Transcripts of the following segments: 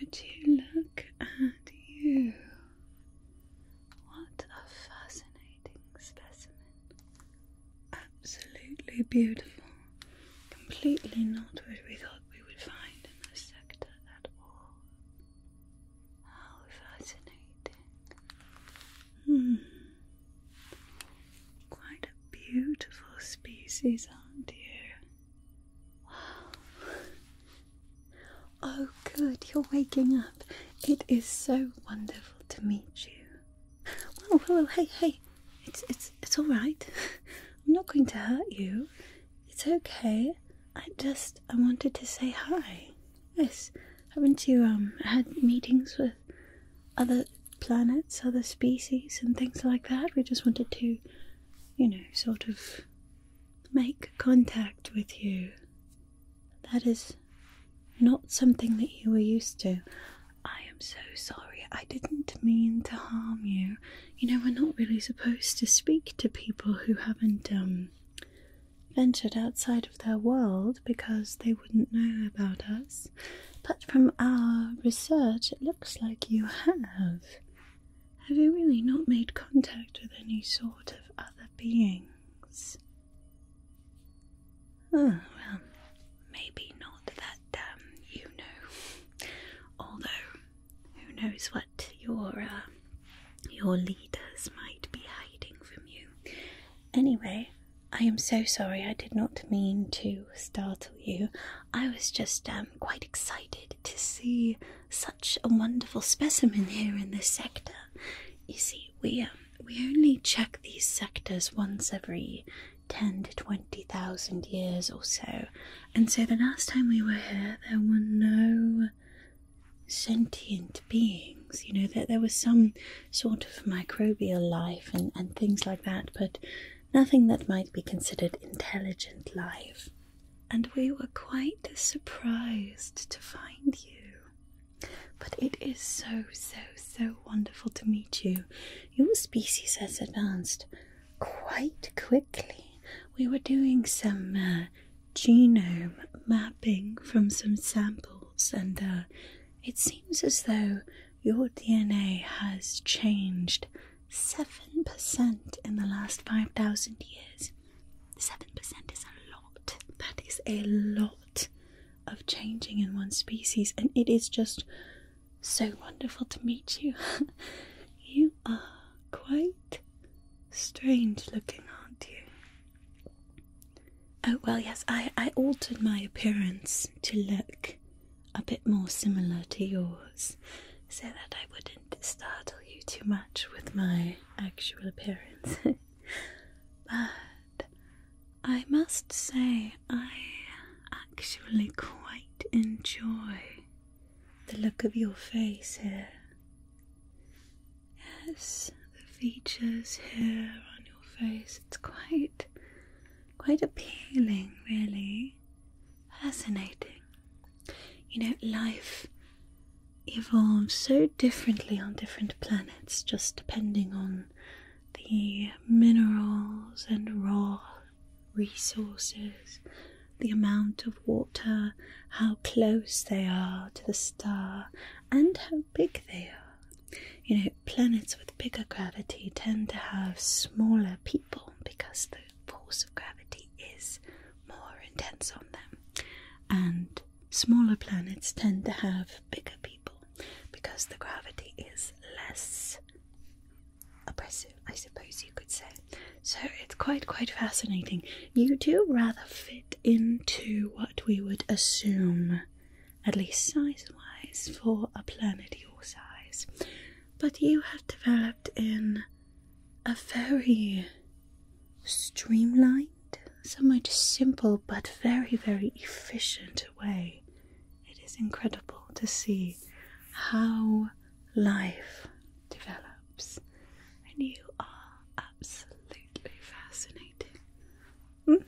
Would you look at you? What a fascinating specimen. Absolutely beautiful. Completely not what we thought we would find in this sector at all. How fascinating. Hmm. Quite a beautiful species, aren't you? Oh, good, you're waking up. It is so wonderful to meet you. Well, hello! hey, hey, it's it's it's all right. I'm not going to hurt you. It's okay. I just I wanted to say hi. Yes, haven't you um had meetings with other planets, other species, and things like that. We just wanted to, you know, sort of make contact with you. That is not something that you were used to. I am so sorry. I didn't mean to harm you. You know, we're not really supposed to speak to people who haven't, um, ventured outside of their world because they wouldn't know about us but from our research, it looks like you have. Have you really not made contact with any sort of other beings? Oh, well, maybe not that, um, you know. Although, who knows what your, uh, your leaders might be hiding from you. Anyway, I am so sorry. I did not mean to startle you. I was just um, quite excited to see such a wonderful specimen here in this sector. You see, we um, we only check these sectors once every ten to twenty thousand years or so, and so the last time we were here, there were no sentient beings. You know that there, there was some sort of microbial life and and things like that, but nothing that might be considered intelligent life, and we were quite surprised to find you. But it is so, so, so wonderful to meet you. Your species has advanced quite quickly. We were doing some uh, genome mapping from some samples, and uh, it seems as though your DNA has changed 7% in the last 5,000 years. 7% is a lot. That is a lot of changing in one species, and it is just so wonderful to meet you. you are quite strange looking, aren't you? Oh, well, yes, I, I altered my appearance to look a bit more similar to yours so that I wouldn't startle you too much with my actual appearance. but I must say, I actually quite enjoy the look of your face here. Yes, the features here on your face, it's quite quite appealing really. Fascinating. You know, life evolves so differently on different planets, just depending on the minerals and raw resources, the amount of water, how close they are to the star, and how big they are. You know, planets with bigger gravity tend to have smaller people because the force of gravity is more intense on them, and smaller planets tend to have bigger people because the gravity is less oppressive, I suppose you could say. So it's quite, quite fascinating. You do rather fit into what we would assume, at least size wise, for a planet your size but you have developed in a very streamlined, somewhat simple, but very, very efficient way. It is incredible to see how life develops, and you are absolutely fascinating.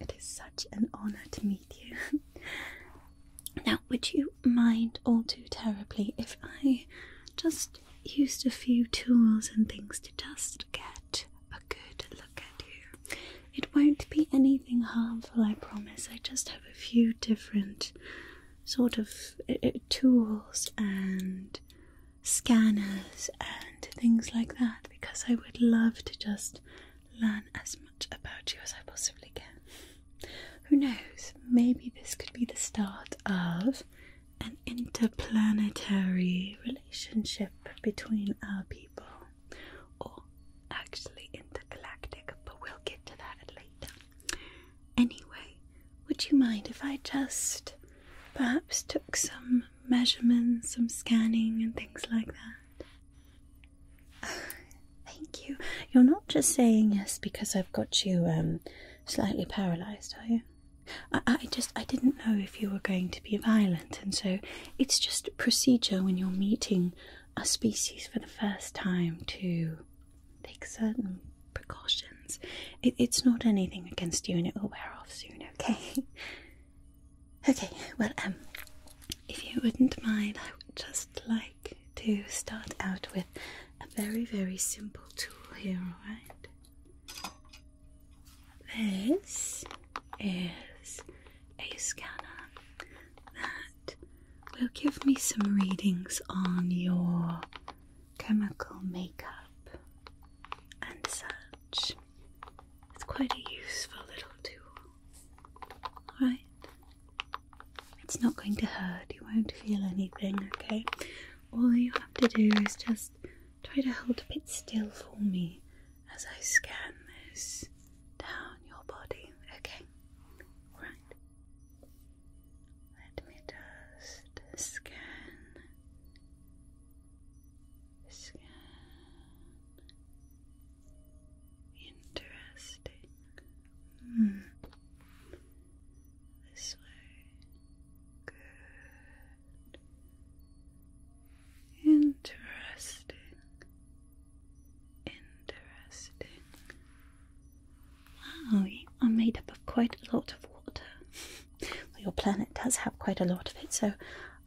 It is such an honor to meet you. Now, would you mind all too terribly if I just used a few tools and things to just get a good look at you? It won't be anything harmful, I promise. I just have a few different sort of uh, uh, tools and scanners and things like that because I would love to just learn as much about you as I possibly can. Who knows? Maybe this could be the start of an interplanetary relationship between our people. Or actually intergalactic, but we'll get to that later. Anyway, would you mind if I just perhaps took some measurements, some scanning, and things like that? Thank you. You're not just saying yes because I've got you um, slightly paralysed, are you? I, just I didn't know if you were going to be violent, and so it's just procedure when you're meeting a species for the first time to take certain precautions. it's not anything against you, and it will wear off soon. Okay. okay. Well, um, if you wouldn't mind, I would just like to start out with a very, very simple tool here, alright? This is a scanner that will give me some readings on your chemical makeup and such. It's quite a useful little tool. Alright? It's not going to hurt, you won't feel anything, okay? All you have to do is just try to hold a bit still for me as I scan this down your body, okay? Right. Let me just scan. Scan, Interesting. Hmm. This way. Good. Interesting. Interesting. Wow, you are made up of quite a lot of water. well, your planet does have quite a lot of it, so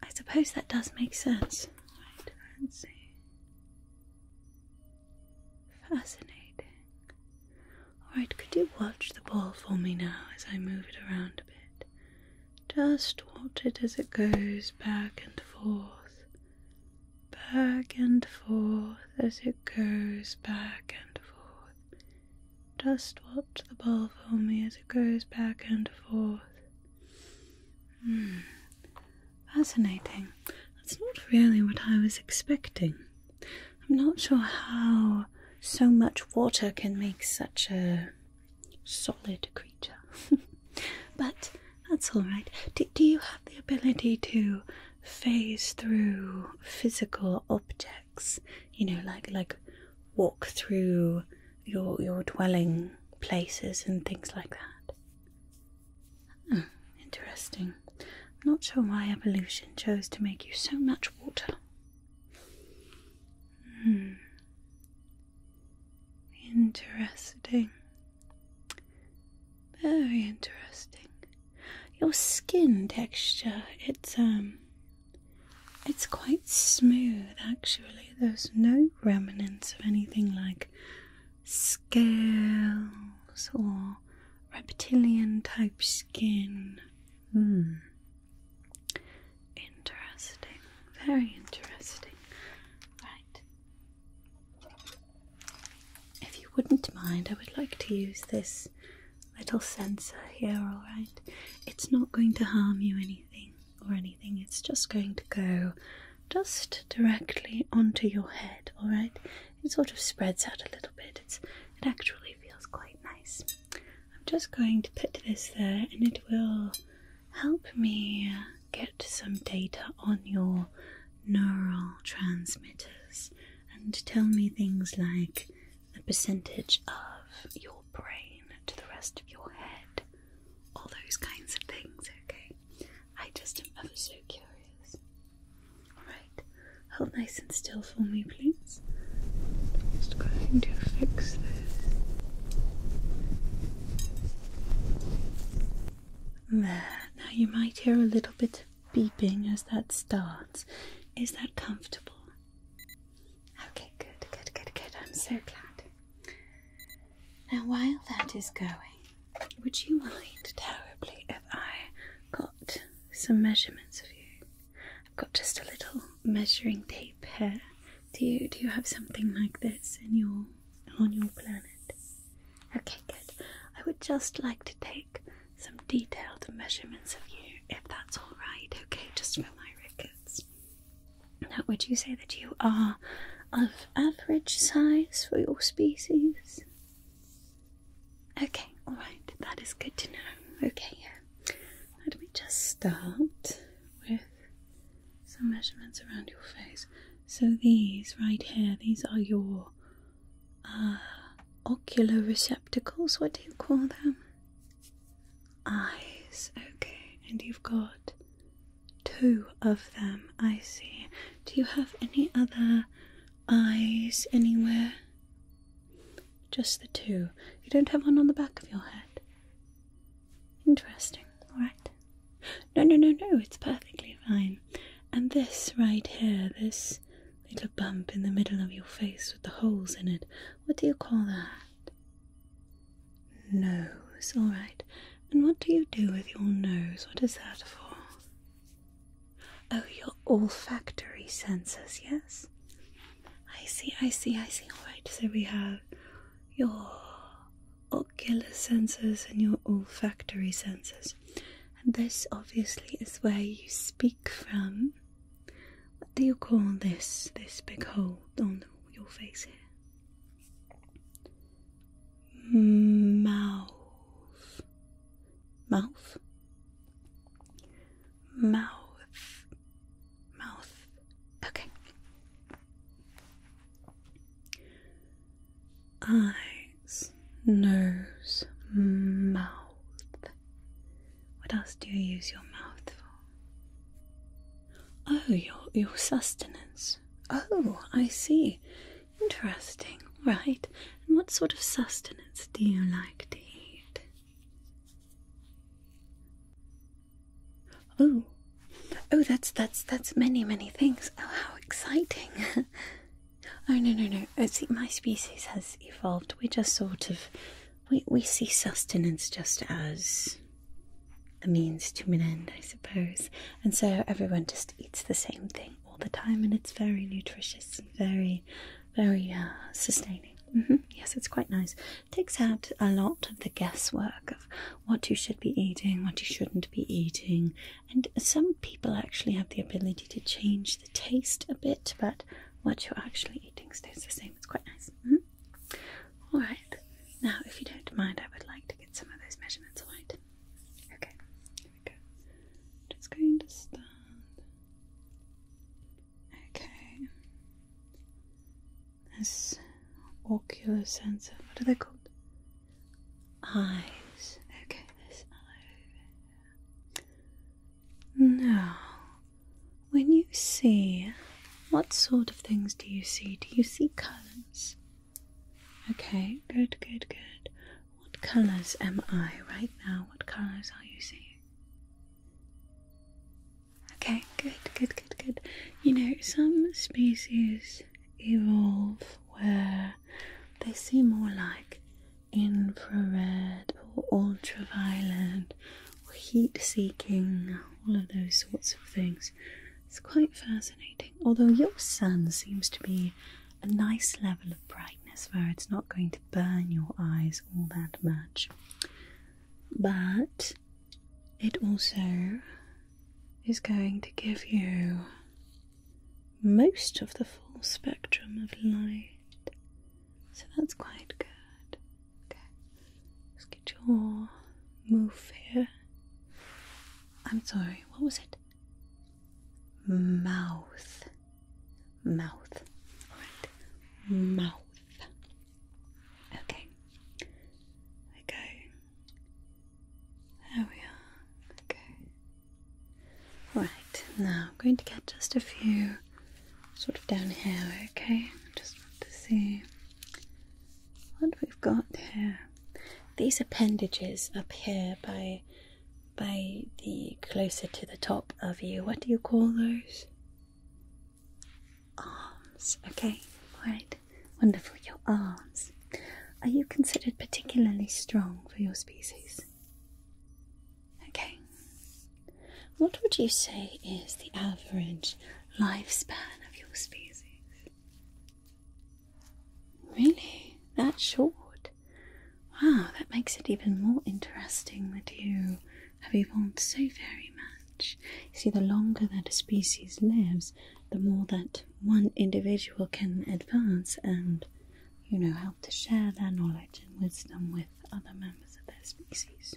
I suppose that does make sense. Fascinating. Alright, could you watch the ball for me now as I move it around a bit? Just watch it as it goes back and forth, back and forth, as it goes back and forth. Just watch the ball for me as it goes back and forth. Hmm. Fascinating. That's not really what I was expecting. I'm not sure how so much water can make such a solid creature. but that's all right. Do, you have the ability to phase through physical objects? You know, like like walk through your your dwelling places and things like that. Hmm, interesting. not sure why evolution chose to make you so much water. Hmm. Interesting. Very interesting. Your skin texture, it's um it's quite smooth actually. There's no remnants of anything like scales or reptilian type skin. Hmm. Interesting. Very interesting. Right. If you wouldn't mind, I would like to use this little sensor here, alright? It's not going to harm you anything or anything, it's just going to go just directly onto your head, alright? It sort of spreads out a little bit. It's it actually feels quite nice. I'm just going to put this there and it will help me get some data on your neural transmitters and tell me things like the percentage of your brain to the rest of your head, all those kinds of things, okay? I just am ever so curious. Alright, hold nice and still for me, please. just going to fix this. now you might hear a little bit of beeping as that starts. Is that comfortable? Okay, good, good, good, good. I'm so glad. Now, while that is going, would you mind terribly if I got some measurements of you? I've got just a little measuring tape here. Do you do you have something like this in your on your planet? Okay, good. I would just like to take some detailed measurements of you, if that's all right. Okay, just for my records. Now, would you say that you are of average size for your species? Okay, alright, that is good to know. Okay, Let me just start with some measurements around your face. So these right here, these are your uh, ocular receptacles. What do you call them? Eyes. Okay, and you've got two of them. I see. Do you have any other eyes anywhere? Just the two. You don't have one on the back of your head. Interesting, alright. No, no, no, no, it's perfectly fine. And this right here, this little bump in the middle of your face with the holes in it, what do you call that? Nose, alright. And what do you do with your nose? What is that for? Oh, your olfactory senses, yes? I see, I see, I see. Alright, so we have your ocular senses and your olfactory senses. And this obviously is where you speak from. What do you call this? This big hole on your face here? Mouth mouth, mouth, mouth. Okay. Eyes, nose, mouth. What else do you use your mouth for? Oh, your your sustenance. Oh, I see. Interesting, right? And what sort of sustenance do you like to eat? Oh, oh, that's that's that's many many things. Oh, how exciting! oh no no no! Uh, see, my species has evolved. We just sort of we we see sustenance just as a means to an end, I suppose, and so everyone just eats the same thing all the time, and it's very nutritious and very, very uh, sustaining. Mm-hmm. Yes, it's quite nice. It takes out a lot of the guesswork of what you should be eating, what you shouldn't be eating, and some people actually have the ability to change the taste a bit, but what you're actually eating stays the same. It's quite nice. Mm-hmm. All right. Now, if you don't mind, I would like to get some of those measurements. All right. Okay. There Just going to stand. Okay. This ocular sensor. What are they called? Eyes. Okay, this eye Now, when you see, what sort of things do you see? Do you see colours? Okay, good, good, good. What colors am I right now? What colors are you seeing? Okay, good, good, good, good. You know, some species evolve where they see more like infrared or ultraviolet or heat seeking, all of those sorts of things. It's quite fascinating. Although your sun seems to be a nice level of brightness where it's not going to burn your eyes all that much, but it also is going to give you most of the full spectrum of light. So that's quite good. Okay, let's get your move here. I'm sorry, what was it? mouth, mouth, all right, mouth. Okay, we go. There we are. Okay. All right, now I'm going to get just a few sort of down here. Okay, just want to see what we've got here. These appendages up here by by the closer to the top of you. What do you call those? Arms. Okay, right, Wonderful. Your arms. Are you considered particularly strong for your species? Okay. What would you say is the average lifespan of your species? Really? That short? Wow, that makes it even more interesting that you have evolved so very much. You see, the longer that a species lives, the more that one individual can advance and, you know, help to share their knowledge and wisdom with other members of their species.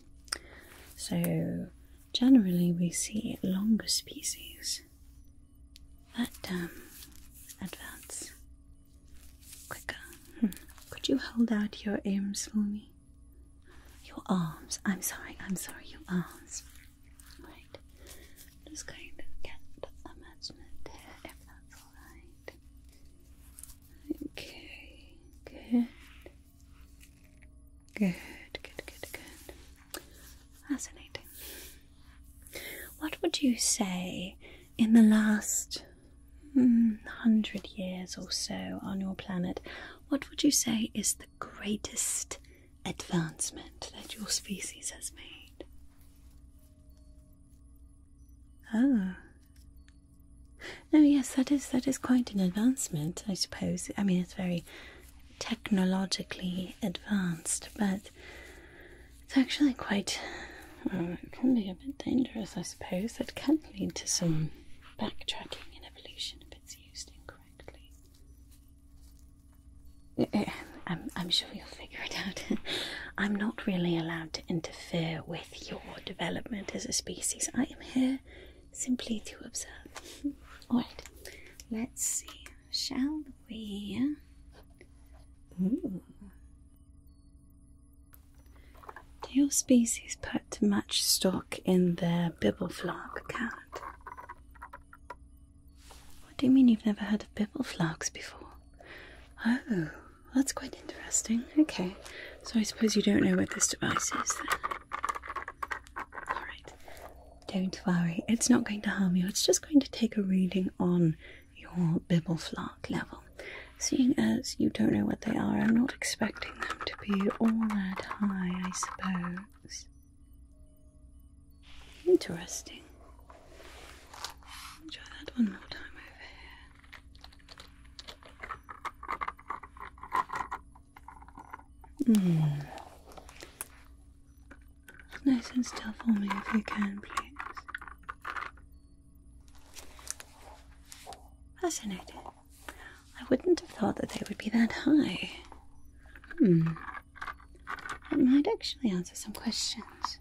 So, generally, we see longer species that um, advance Quicker. Hmm. Could you hold out your arms for me? Your arms. I'm sorry, I'm sorry, your arms. Right. Just going to get a measurement here if that's alright. Okay, good. Good, good, good, good. Fascinating. What would you say in the last Hmm, hundred years or so on your planet, what would you say is the greatest advancement that your species has made? Oh. Oh yes, that is that is quite an advancement, I suppose. I mean, it's very technologically advanced, but it's actually quite, it can be a bit dangerous, I suppose. It can lead to some backtracking in evolution if it's used incorrectly. Eh, eh, I'm, I'm sure you'll figure it out. I'm not really allowed to interfere with your development as a species. I am here simply to observe. Alright, let's see. Shall we? Ooh. Do your species put much stock in their bibbleflark cat. What do you mean you've never heard of bibbleflarks before? Oh, that's quite interesting. Okay, so I suppose you don't know what this device is then. Alright, don't worry, it's not going to harm you, it's just going to take a reading on your bibble flark level. Seeing as you don't know what they are, I'm not expecting them to be all that high, I suppose. Interesting. Try that one more time over here. Mm. Nice and still for me if you can, please. Fascinating. I wouldn't have thought that they would be that high. Hmm. That might actually answer some questions.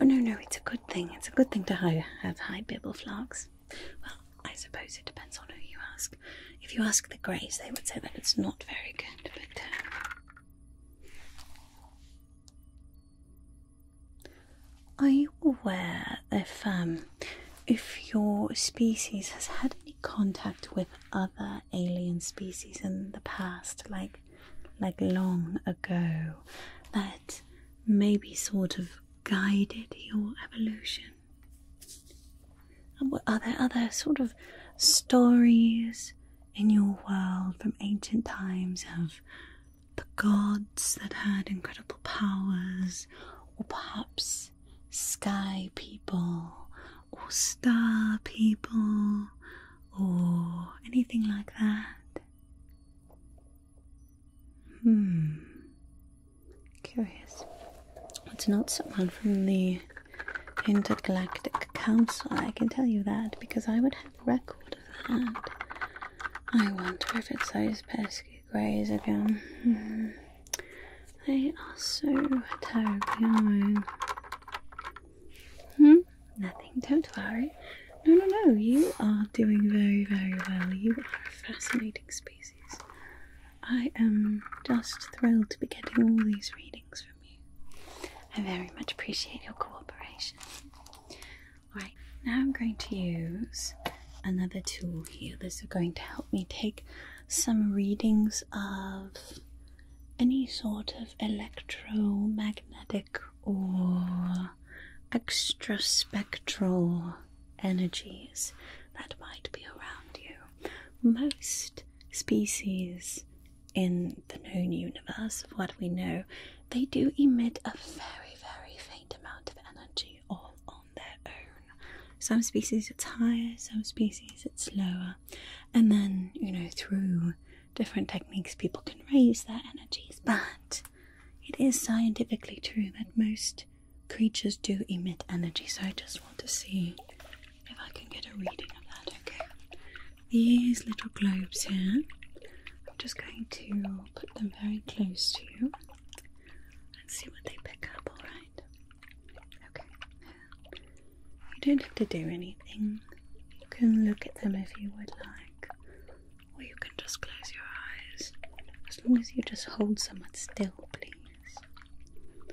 Oh no, no, it's a good thing. It's a good thing to have high bibble flags. Well, I suppose it depends on who you ask. If you ask the Greys, they would say that it's not very good, but. Uh, are you aware if um, if your species has had any contact with other alien species in the past, like like long ago, that maybe sort of guided your evolution? And what are there other sort of stories in your world from ancient times of the gods that had incredible powers, or perhaps sky people, or star people, or anything like that. Hmm. Curious. It's not someone from the Intergalactic Council, I can tell you that, because I would record of that. I wonder if it's those pesky greys again. Hmm. They are so terribly Hmm? Nothing, don't worry. No, no, no, you are doing very, very well. You are a fascinating species. I am just thrilled to be getting all these readings from you. I very much appreciate your cooperation. Alright, now I'm going to use another tool here. This is going to help me take some readings of any sort of electromagnetic or extraspectral energies that might be around you. Most species in the known universe of what we know they do emit a very, very faint amount of energy all on their own. Some species it's higher, some species it's lower. And then, you know, through different techniques, people can raise their energies. But it is scientifically true that most creatures do emit energy. So I just want to see if I can get a reading of that, okay? These little globes here, I'm just going to put them very close to you and see what they pick up, alright? Okay. You don't have to do anything. You can look at them if you would like, or you can just close your eyes. As long as you just hold somewhat still, please.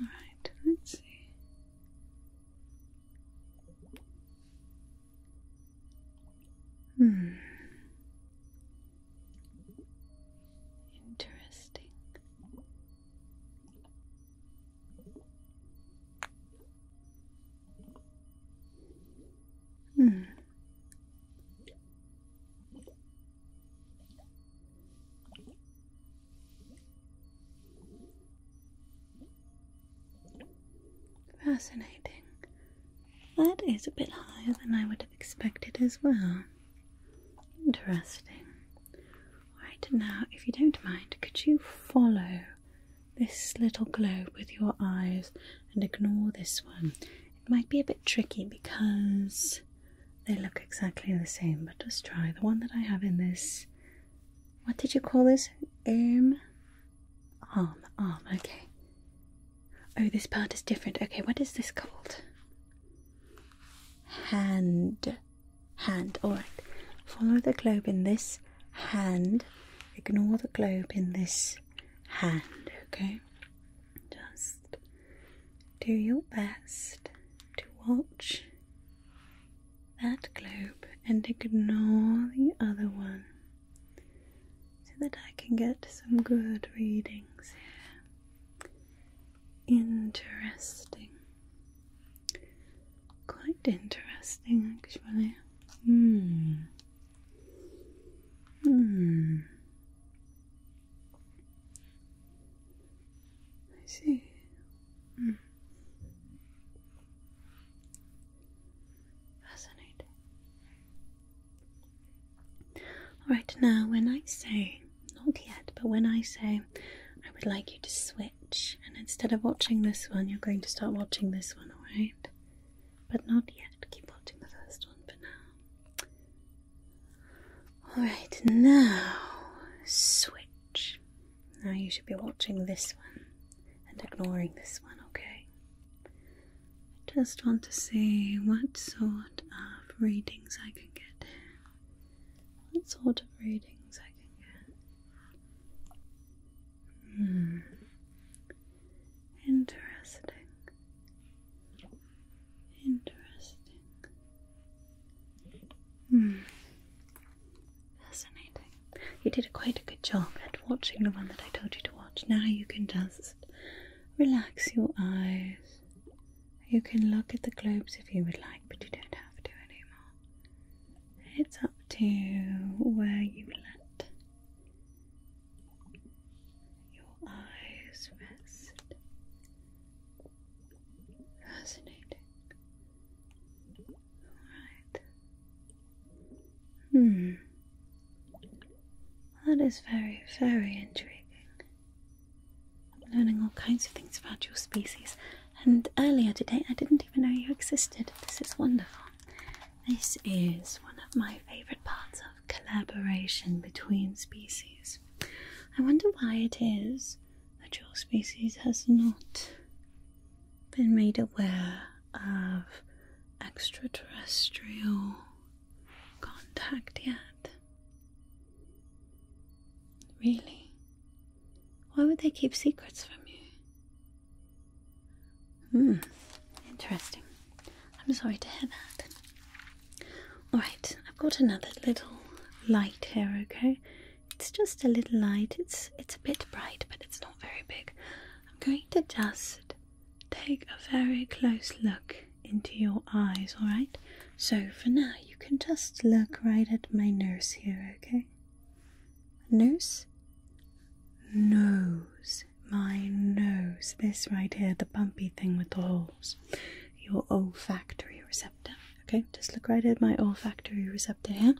Alright, let's see. Hmm. Interesting. Hmm. Fascinating. That is a bit higher than I would have expected as well. Interesting. Right now, if you don't mind, could you follow this little globe with your eyes and ignore this one? It might be a bit tricky because they look exactly the same, but just try the one that I have in this. What did you call this? Um, Arm, arm, okay. Oh, this part is different. Okay, what is this called? Hand. Hand, alright. Follow the globe in this hand. Ignore the globe in this hand, okay? Just do your best to watch that globe and ignore the other one so that I can get some good readings here. Interesting. Quite interesting, actually. Hmm. Hmm. I see. Mm. Alright, now when I say, not yet, but when I say, I would like you to switch, and instead of watching this one, you're going to start watching this one, alright? But not yet. Keep watching the first one for now. Alright, now switch. Now you should be watching this one and ignoring this one, okay? I just want to see what sort of readings I can get What sort of readings I can get? Hmm. Interesting. Interesting. Hmm. Fascinating. You did quite a good job at watching the one that I told you to watch. Now you can just relax your eyes. You can look at the globes if you would like, but you don't have to anymore. It's up to where you let your eyes rest. Fascinating. Alright. Hmm. That is very, very intriguing. I'm learning all kinds of things about your species, and earlier today I didn't even know you existed. This is wonderful. This is one of my favorite parts of collaboration between species. I wonder why it is that your species has not been made aware of extraterrestrial contact yet. Really? Why would they keep secrets from you? Hmm, interesting. I'm sorry to hear that. Alright, I've got another little light here, okay? It's just a little light. It's it's a bit bright, but it's not very big. I'm going to just take a very close look into your eyes, alright? So for now, you can just look right at my nose here, okay? Nose? Nose. My nose. This right here, the bumpy thing with the holes. Your olfactory receptor. Okay, just look right at my olfactory receptor here.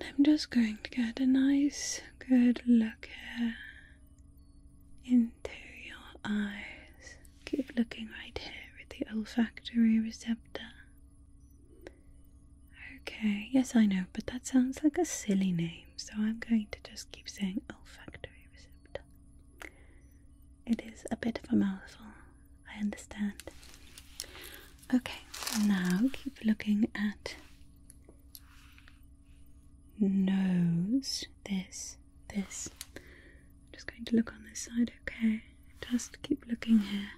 And I'm just going to get a nice good look here into your eyes. Keep looking right here at the olfactory receptor. Okay, yes, I know, but that sounds like a silly name, so I'm going to just keep saying olfactory receptor. It is a bit of a mouthful, I understand. Okay, now keep looking at nose. This, this. I'm just going to look on this side, okay? Just keep looking here.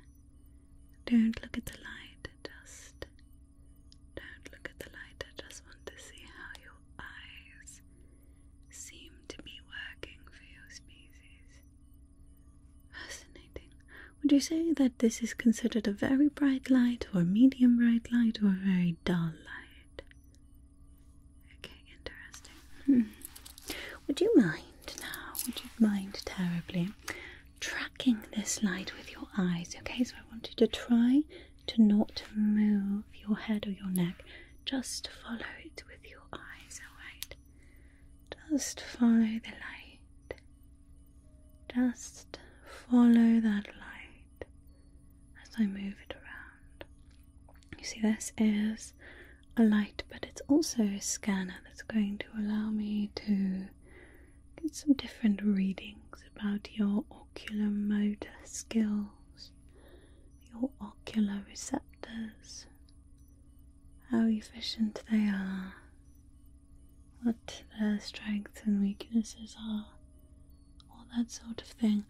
Don't look at the light, just don't look at the light. I just want to see how your eyes seem to be working for your species. Fascinating. Would you say that this is considered a very bright light, or a medium bright light, or a very dull light? Okay, interesting. Hmm. Would you mind now? Would you mind terribly tracking this light with your eyes? Okay, so I want you to try to not move your head or your neck. Just follow it with your eyes, alright? Just follow the light. Just follow that light as I move it around. You see, this is a light, but it's also a scanner that's going to allow me to get some different readings about your ocular motor skills, your ocular receptors, how efficient they are, what their strengths and weaknesses are, all that sort of thing.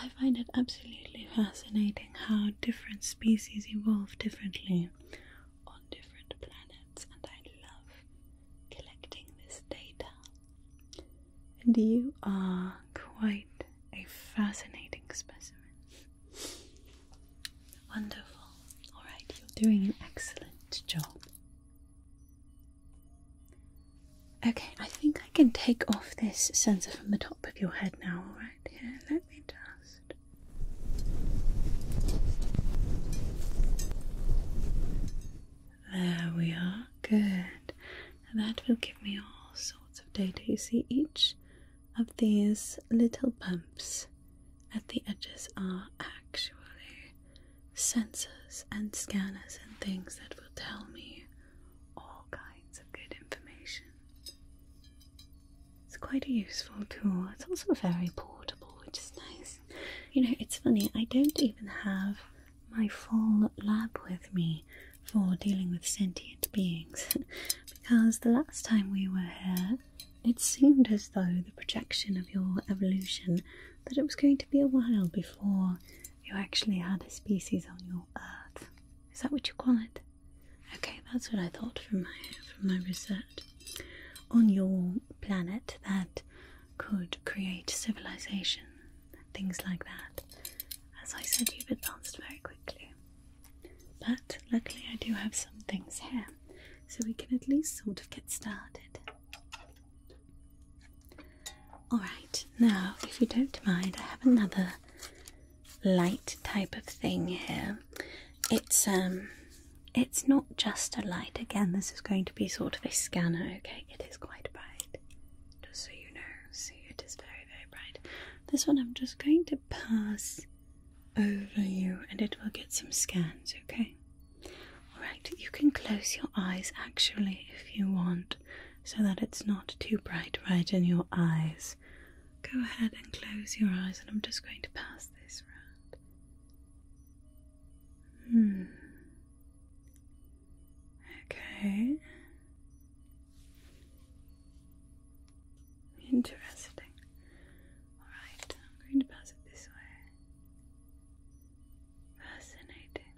I find it absolutely fascinating how different species evolve differently on different planets, and I love collecting this data. And you are quite a fascinating specimen. Wonderful. Alright, you're doing an excellent job. Okay, I think I can take off this sensor from the top of your head now, alright? Here, let me just. There we are, good. that will give me all sorts of data. You see, each of these little bumps at the edges are actually sensors and scanners and things that will tell me all kinds of good information. It's quite a useful tool. It's also very portable, which is nice. You know, it's funny, I don't even have my full lab with me for dealing with sentient beings because the last time we were here, it seemed as though the projection of your evolution that it was going to be a while before you actually had a species on your earth. Is that what you call it? Okay, that's what I thought from my from my research. On your planet that could create civilization, things like that. As I said, you've advanced very quickly. But luckily I do have some things here. So we can at least sort of get started. Alright, now if you don't mind, I have another light type of thing here. It's um it's not just a light. Again, this is going to be sort of a scanner, okay? It is quite bright. Just so you know. See it is very, very bright. This one I'm just going to pass over you and it will get some scans, okay? Alright, you can close your eyes actually if you want so that it's not too bright right in your eyes. Go ahead and close your eyes, and I'm just going to pass this round. Hmm. Okay. Interesting. Alright, I'm going to pass it this way. Fascinating.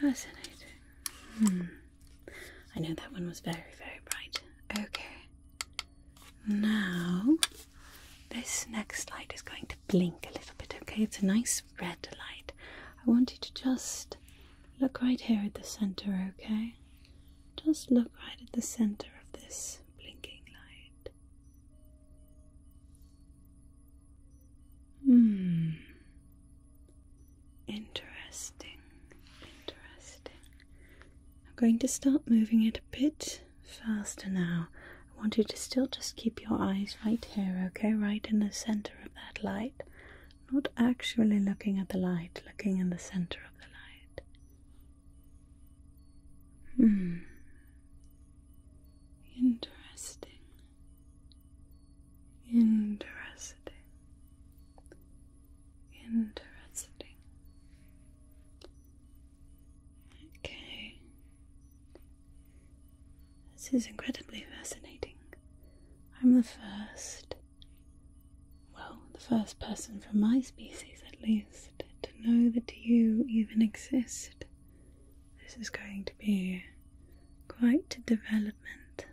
Fascinating. Hmm. I know that one was very, very bright. Okay. Now, this next light is going to blink a little bit, okay? It's a nice red light. I want you to just look right here at the center, okay? Just look right at the center of this blinking light. Hmm. Interesting. Interesting. I'm going to start moving it a bit faster now. I want you to still just keep your eyes right here, okay? Right in the center of that light. Not actually looking at the light, looking in the center of the light. Hmm. Interesting. Interesting. Interesting. Okay. This is incredibly fascinating. I'm the first, well, the first person from my species at least, to know that you even exist. This is going to be quite a development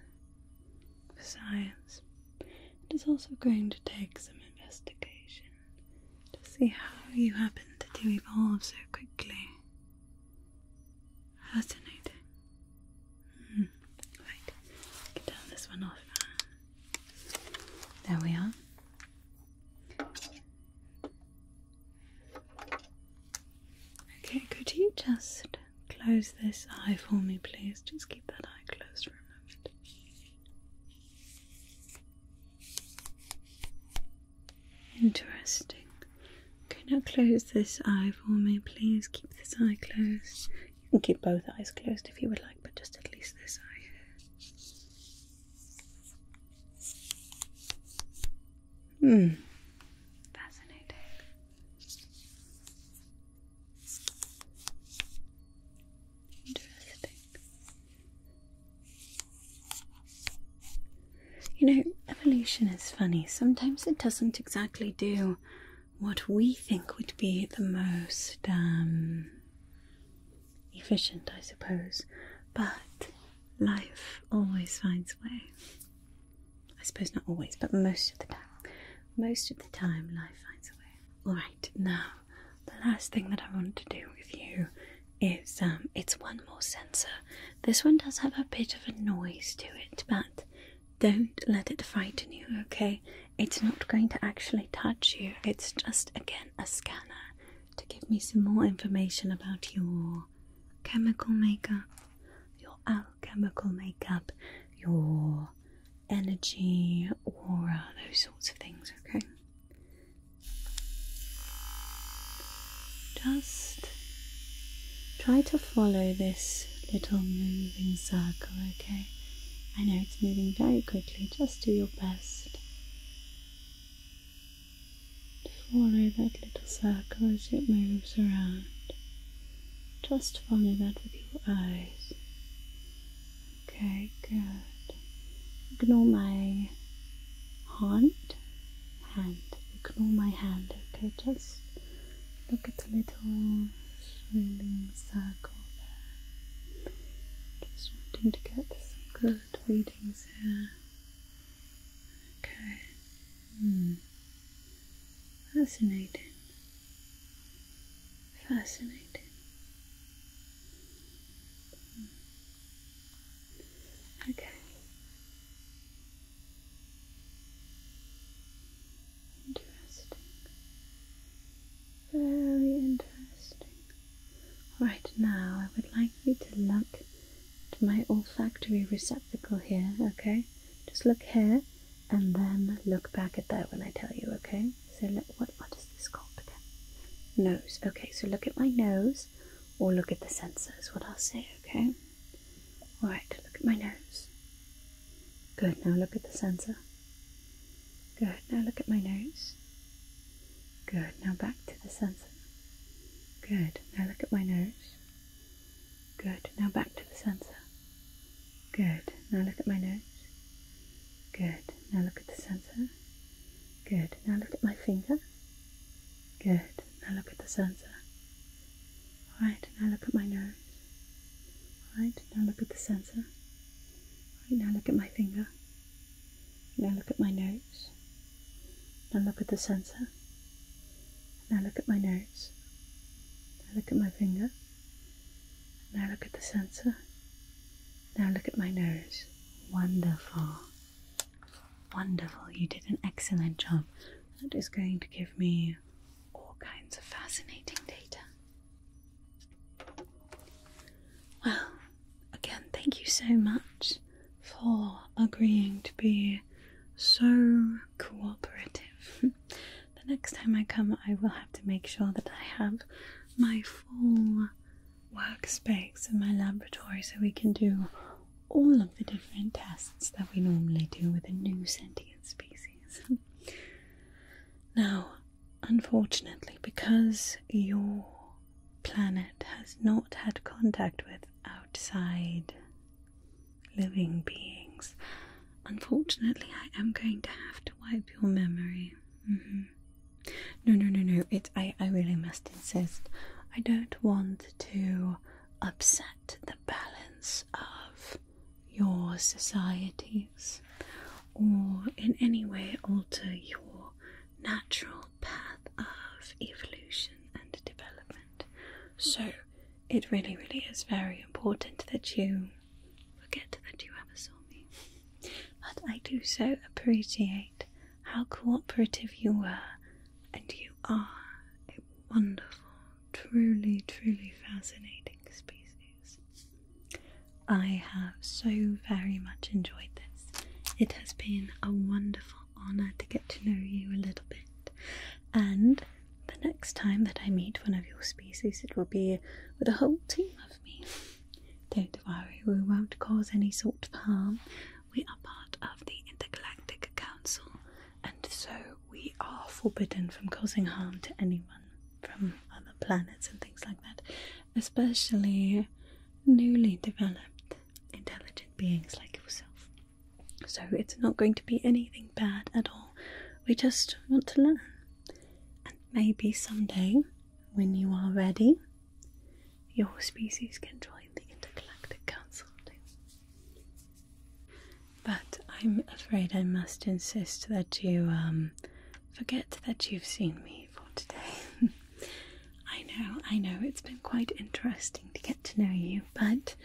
for science. It is also going to take some investigation to see how you happen to evolve so quickly. Fascinating. Mm. Right, get down this one off. There we are. Okay, could you just close this eye for me, please? Just keep that eye closed for a moment. Interesting. Can you close this eye for me, please? Keep this eye closed. You can keep both eyes closed if you would like, but just at least this eye Hmm. Fascinating. Interesting. You know, evolution is funny. Sometimes it doesn't exactly do what we think would be the most um, efficient, I suppose, but life always finds a way. I suppose not always, but most of the time. Most of the time, life finds a way. Alright, now, the last thing that I want to do with you is um, it's one more sensor. This one does have a bit of a noise to it, but don't let it frighten you, okay? It's not going to actually touch you, it's just, again, a scanner to give me some more information about your chemical makeup, your alchemical makeup, your energy, aura, those sorts of things, okay? Just try to follow this little moving circle, okay? I know it's moving very quickly, just do your best. Follow that little circle as it moves around. Just follow that with your eyes. Okay, good. Ignore my hand. Hand. Ignore my hand, okay? Just look at the little swirling circle there. Just wanting to get some good readings here. Okay. Hmm. Fascinating. Fascinating. Hmm. Okay. Interesting. Very interesting. Right now, I would like you to look at my olfactory receptacle here, okay? Just look here and then look back at that when I tell you, okay? So, look, what, what is this called again? Nose. Okay, so look at my nose or look at the sensors, what I'll say, okay? Alright, look at my nose. Good, now look at the sensor. Good, now look at my nose. Good. Now back to the sensor. Good. Now look at my nose. Good. Now back to the sensor. Good. Now look at my nose. Good. Now look at the sensor. Good. Now look at my finger. Good. Now look at the sensor. Alright. Now look at my nose. Alright. Now look at the sensor. Alright. Now look at my finger. Now look at my nose. Now look at the sensor. Now look at my nose. Now look at my finger. Now look at the sensor. Now look at my nose. Wonderful. Wonderful. You did an excellent job. That is going to give me all kinds of fascinating data. Well, again, thank you so much for agreeing to be so cooperative. the next time I come, I will have to make sure that I have my full workspace in my laboratory so we can do all of the different tests that we normally do with a new sentient species. now, unfortunately, because your planet has not had contact with outside living beings. Unfortunately, I am going to have to wipe your memory. Mm No, no, no, no. It. I. I really must insist. I don't want to upset the balance of your societies, or in any way alter your natural path of evolution and development. So it really, really is very important that you forget that you ever saw me. But I do so appreciate how cooperative you were, and you are a wonderful, truly, truly fascinating species. I have so very much enjoyed this. It has been a wonderful honour to get to know you a little bit. And the next time that I meet one of your species, it will be with a whole team of me. Don't worry, we won't cause any sort of harm. We are part of the Intergalactic Council, and so we are forbidden from causing harm to anyone from other planets and things like that, especially newly developed intelligent beings like yourself. So it's not going to be anything bad at all. We just want to learn. And maybe someday, when you are ready, your species can join the Intergalactic Council But I'm afraid I must insist that you um, forget that you've seen me for today. I know, I know, it's been quite interesting to get to know you, but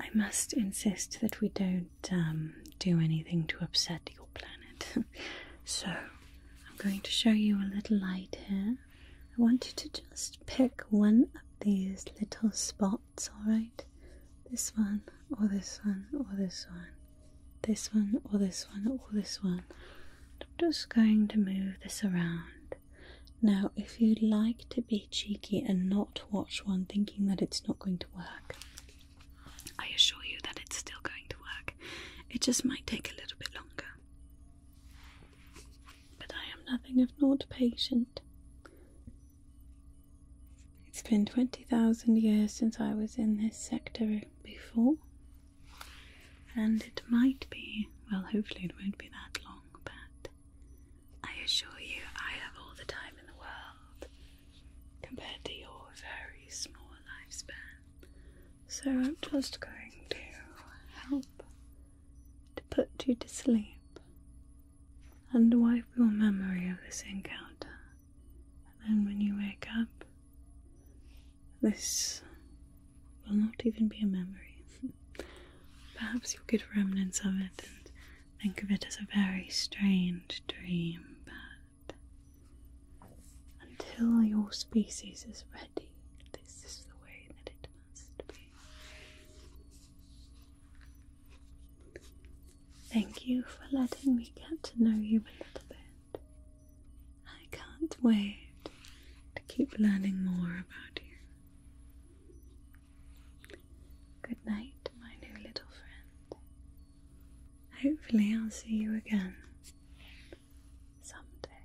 I must insist that we don't um, do anything to upset your planet. so, I'm going to show you a little light here. I want you to just pick one of these little spots, alright? This one, or this one, or this one. This one, or this one, or this one. I'm just going to move this around. Now, if you'd like to be cheeky and not watch one thinking that it's not going to work, I assure you that it's still going to work. It just might take a little bit longer. But I am nothing if not patient. It's been 20,000 years since I was in this sector before, and it might be, well, hopefully, it won't be that long but I assure you I have all the time in the world compared to your very small lifespan. So I'm just going to help to put you to sleep and wipe your memory of this encounter. And when you wake up, this will not even be a memory. Perhaps you'll get remnants of it and think of it as a very strange dream, but until your species is ready, this is the way that it must be. Thank you for letting me get to know you a little bit. I can't wait to keep learning more about you. Good night, my new little friend. Hopefully, I'll see you again someday.